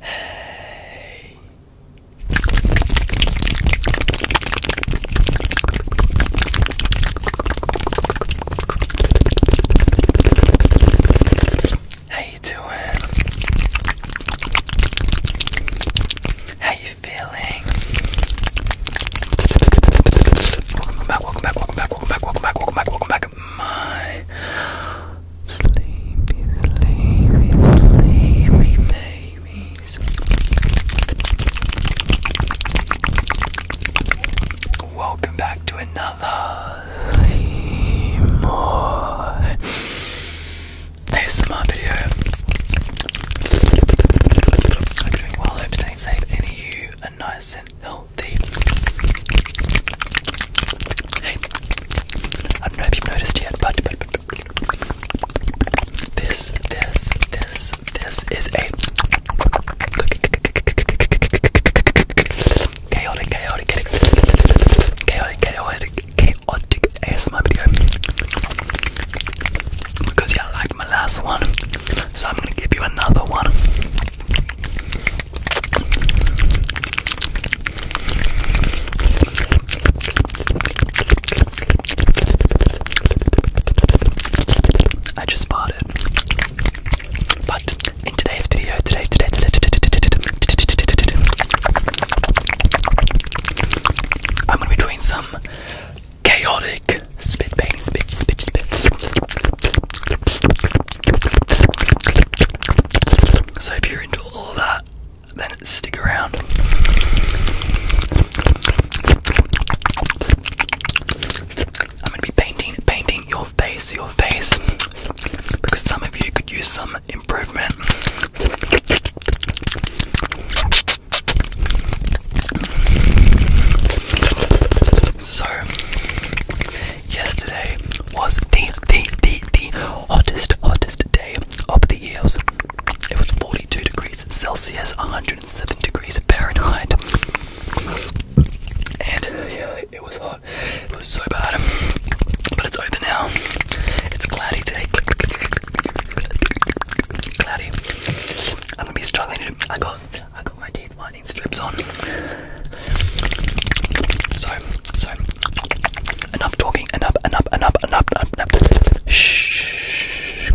Hey. How you doing? How you feeling? Welcome back, welcome back, welcome back, welcome back, welcome back, welcome back, welcome back, my Sleepy, sleepy, sleepy babies. Welcome back to another Sleep ASMR video. I'm doing well, hope staying safe and you are nice and healthy. I don't know if you've noticed yet, but, this, this, this, this is a chaotic, chaotic, chaotic, chaotic, chaotic, chaotic ASMR video because you yeah, liked my last one, so I'm gonna give you another one. I just bought it. But in today's video, today, today, today, today, I'm gonna be doing some chaotic spit painting, spit, spit, spit. So if you're into all of that, then stick around. I'm gonna be painting painting your face, your face. Because some of you could use some improvement. So yesterday was the, the, the, the hottest, hottest day of the year. It was, 42 degrees Celsius, 107 degrees Fahrenheit. And yeah, it was hot. It was so bad. But it's over now. It's cloudy today. Cloudy. I'm gonna be struggling to. I got, I got my teeth lightning strips on. enough talking, enough, enough, enough, enough, Shh.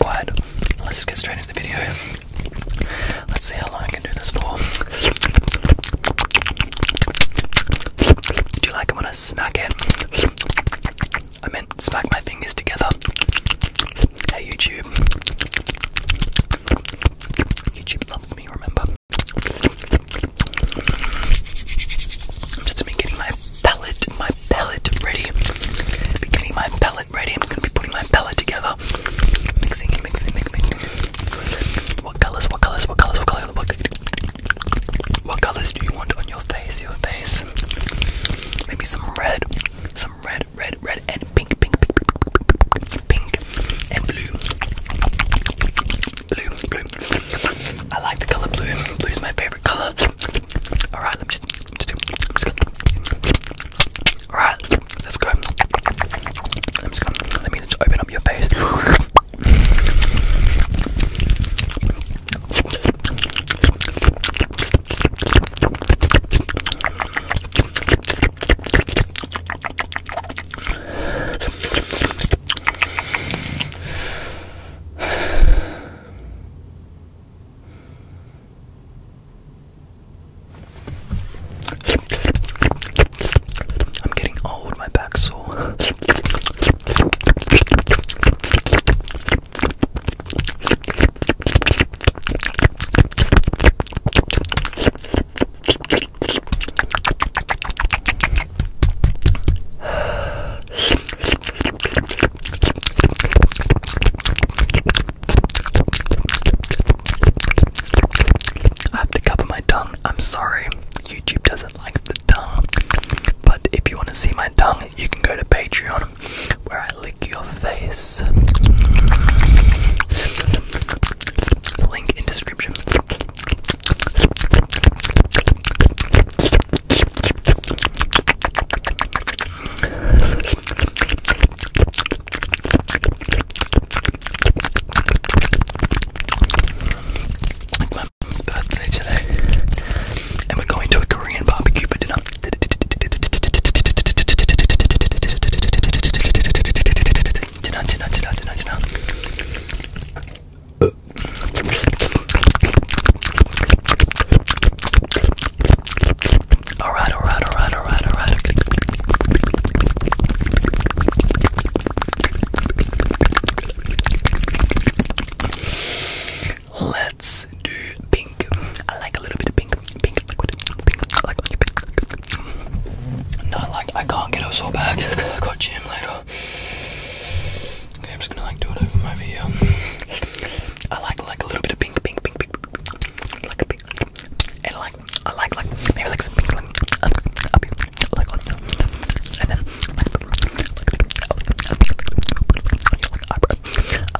Quiet. Let's just get straight into the video. Let's see how long I can do this for. Do you like when I smack it? I meant smack my fingers together. Hey YouTube. YouTube loves me, remember? just going getting my palette, my palette ready. getting my palette ready. I'm just gonna be putting my palette together. mixing, mixing, mixing. What colors, what colors, what colors, what colors, what colors, what colors do you want on your face, your face? Maybe some red, some red, red, red and pink, pink, pink, pink, pink and blue. Blue, blue. I like the color blue. Blue is my favorite color. All right, let me just, just do. right, let's go. I'm just going let me just open up your face. I'm getting old, my back's sore. I have to cover my tongue. I'm sorry, YouTube doesn't like the tongue. But if you want to see my tongue, you can go to Patreon where I lick your face. Link in description. my mom's birthday today, and we going to a Korean barbecue Alright, alright, alright, alright, alright. Let's do pink. I like a little bit of pink, pink liquid, I like pink, not like I can't get up all back. because I got gym later. Okay, I'm just gonna like do it over my video. I like like a little bit of pink, pink, pink, pink, like a pink, and like I like like maybe like some pink, like up, up, like on, and then like like like eyebrow,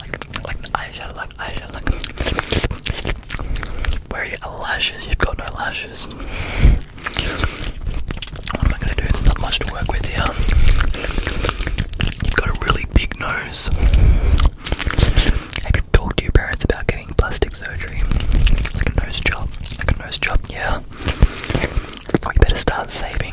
like like eyeshadow, where are your lashes? You've got no lashes. What am I gonna do? not much to work with here. You've got a really big nose. Have you talked to your parents about getting plastic surgery? Like a nose job. Like a nose job, yeah. Or better start saving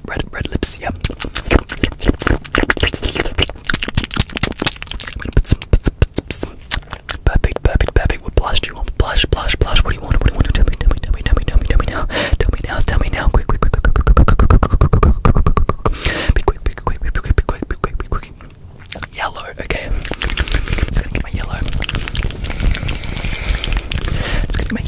red, red, lips. Yeah. perfect, perfect, perfect. What blush you want? Blush, blush, blush. What do you want? What do you want? Tell me, tell me, tell me, tell me, tell me, tell me now. Tell me now. Tell me now. Quick, quick, quick, quick, quick, quick, quick, quick, quick, quick, quick, quick, quick, quick, quick. Quick. Yellow, okay. I'm just gonna get my yellow. It's gonna get my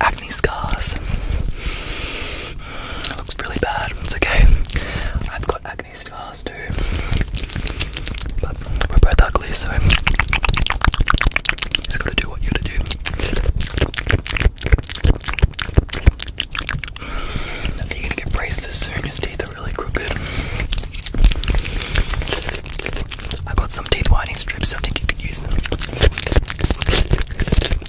acne scars. It looks really bad. It's okay. I've got acne scars too. we're both ugly, so just gotta do what you gotta do. I you gonna get braces soon. His teeth are really crooked. I got some teeth whitening strips. I think you could use them.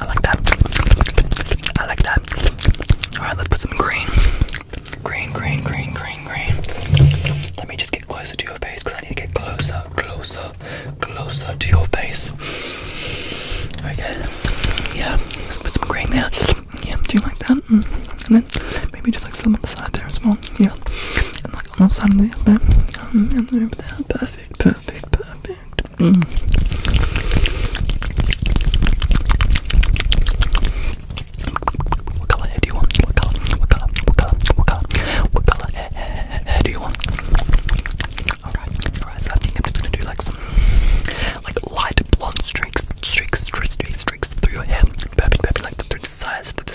I like that. I like that. Alright, let's put some green. Green, green, green, green, green. Let me just get closer to your face because I need to get closer, closer, closer to your face. Okay. Yeah, let's put some green there. Yeah, do you like that? Mm. And then maybe just like some on the side there as well. Yeah. And like on the side of the other. Um, and over there perfect, perfect, perfect. Mm. What color hair do you want? What color? What color? What color? What color? What color hair, hair, hair do you want? Alright, alright, so I think I'm just gonna do like some like light blonde streaks, streaks, streaks, streaks, streaks through your hair. Perfect, perfect, like through the sides, through the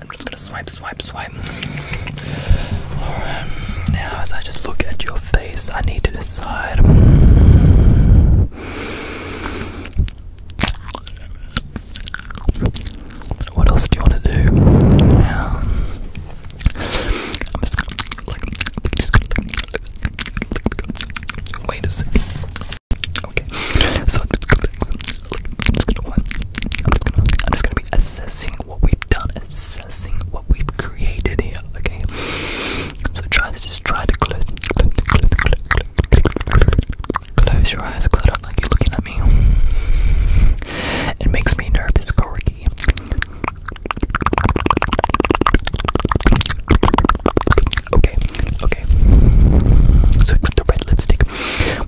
I'm just gonna swipe, swipe, swipe. Alright, now as I just look at your face, I need to decide. What else do you want to do? Um, I'm just gonna, wait a second. Okay, I'm just gonna be assessing what we've done, assessing what we've created here, okay? So try to just try to close close close close close close your eyes, close up like you're looking at me. It makes me nervous, Corky. Okay, okay. So we put the red lipstick,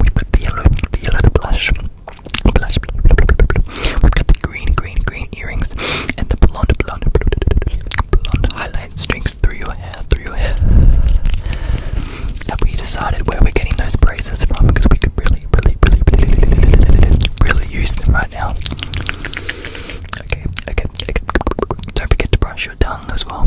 we put the yellow, the yellow, the blush, blush, blush, blush, blush, blush. We've got the green, green, green earrings and the blonde, blonde, blonde highlight strings through your hair, through your hair. Have we decided where we're getting those braces from? Because we could really, really, really, really, really, really use them right now. Okay, okay, okay. Don't forget to brush your tongue as well.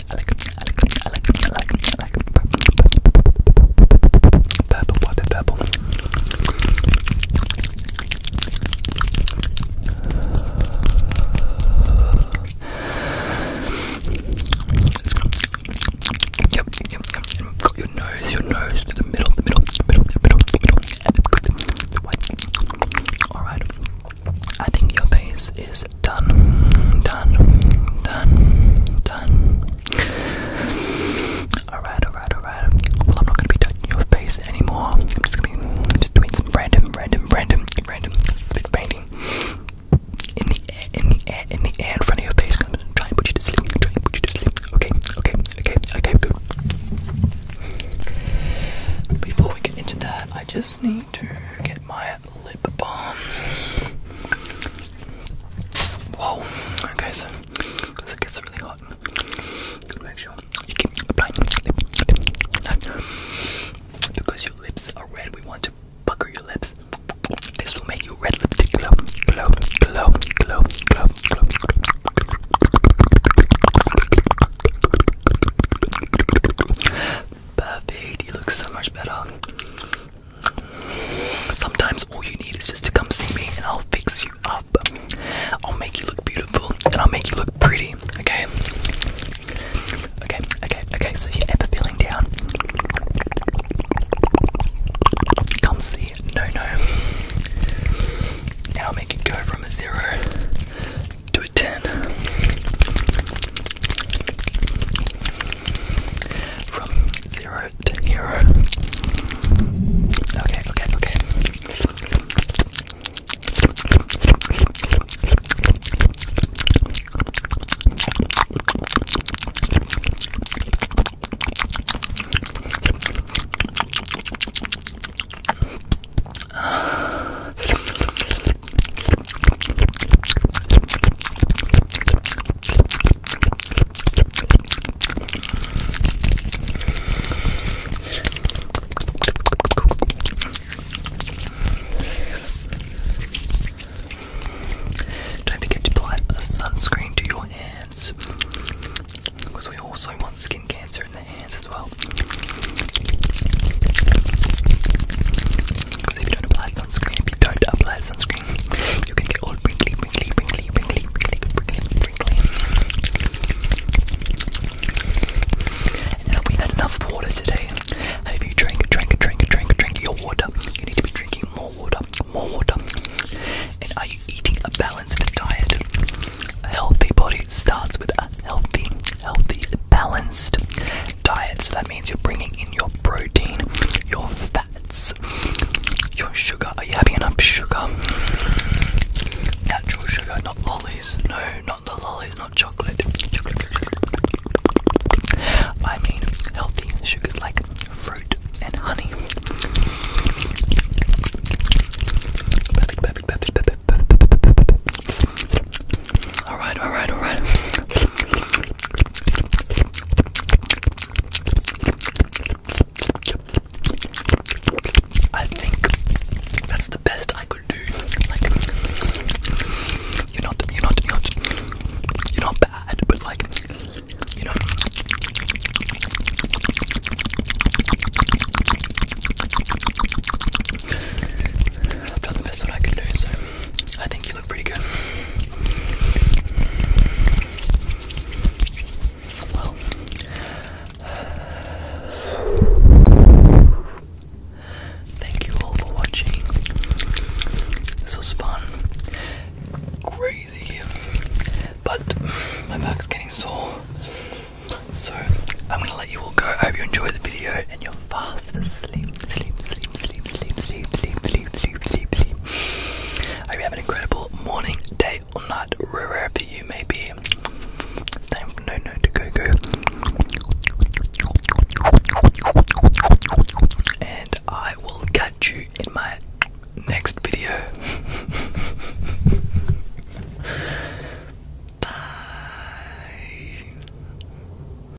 I like I like I like I like I like purple purple purple. Let's go. Yep, yep, yep. And got your nose, your nose to the middle, the middle, the middle, the middle, the middle, and the good, the white. Alright. I think your base is done, done, done, done. Alright, alright, alright. Well, I'm not gonna be touching your face anymore. I'm just gonna be just doing some random, random, random, random spit painting in the air, in the air, in the air in front of your face. I'm try and put you to sleep. Try and put you to sleep. Okay, okay, okay, okay, good. Before we get into that, I just need to get my lip balm. Whoa, okay, so because it gets really hot, gotta you keep applying because your lips are red. We want to pucker your lips. This will make your red lips glow, glow, glow, glow, glow, glow. Perfect. You look so much better. Sometimes all you need is just to come see me and I'll fix you up. I'll make you look beautiful and I'll make you look pretty, okay? Okay, okay, okay, so if you're ever feeling down, come see No No. And I'll make it go from a zero to a ten from zero to hero. Okay, okay, okay. Don't forget to apply sunscreen to your hands because we also want skin cancer in the hands as well. Because if you don't apply sunscreen, if you don't apply sunscreen, you can get all wrinkly, wrinkly, wrinkly, wrinkly, wrinkly, wrinkly, wrinkly. And have we had enough water today? Have you drank, drank, drank, drank, drank your water? You need to be drinking more water, more water. And are you eating a balanced diet? A healthy body starts with a healthy, healthy, balanced diet. So that means you're bringing in your protein, your fats, your sugar. Are you having enough sugar? Natural sugar, not lollies. No, not the lollies, not chocolate. I mean healthy sugars like fruit and honey. All right, all right, all right. I think that's the best I could do. Like, you're not, you're not, you're not, bad, but like, you know. I've done the best what I can do, so I think you pretty good. Well, thank you all for watching. This was fun, crazy, but my back's getting sore. So I'm gonna let you all go. I hope you enjoyed the video and you're fast asleep. Sleep, sleep sleep, sleep, sleep, sleep, sleep, sleep, sleep, sleep, sleep. I hope you have an incredible morning, day, or night, wherever you may be. It's time for no no to go go. And I will catch you in my next video. Bye.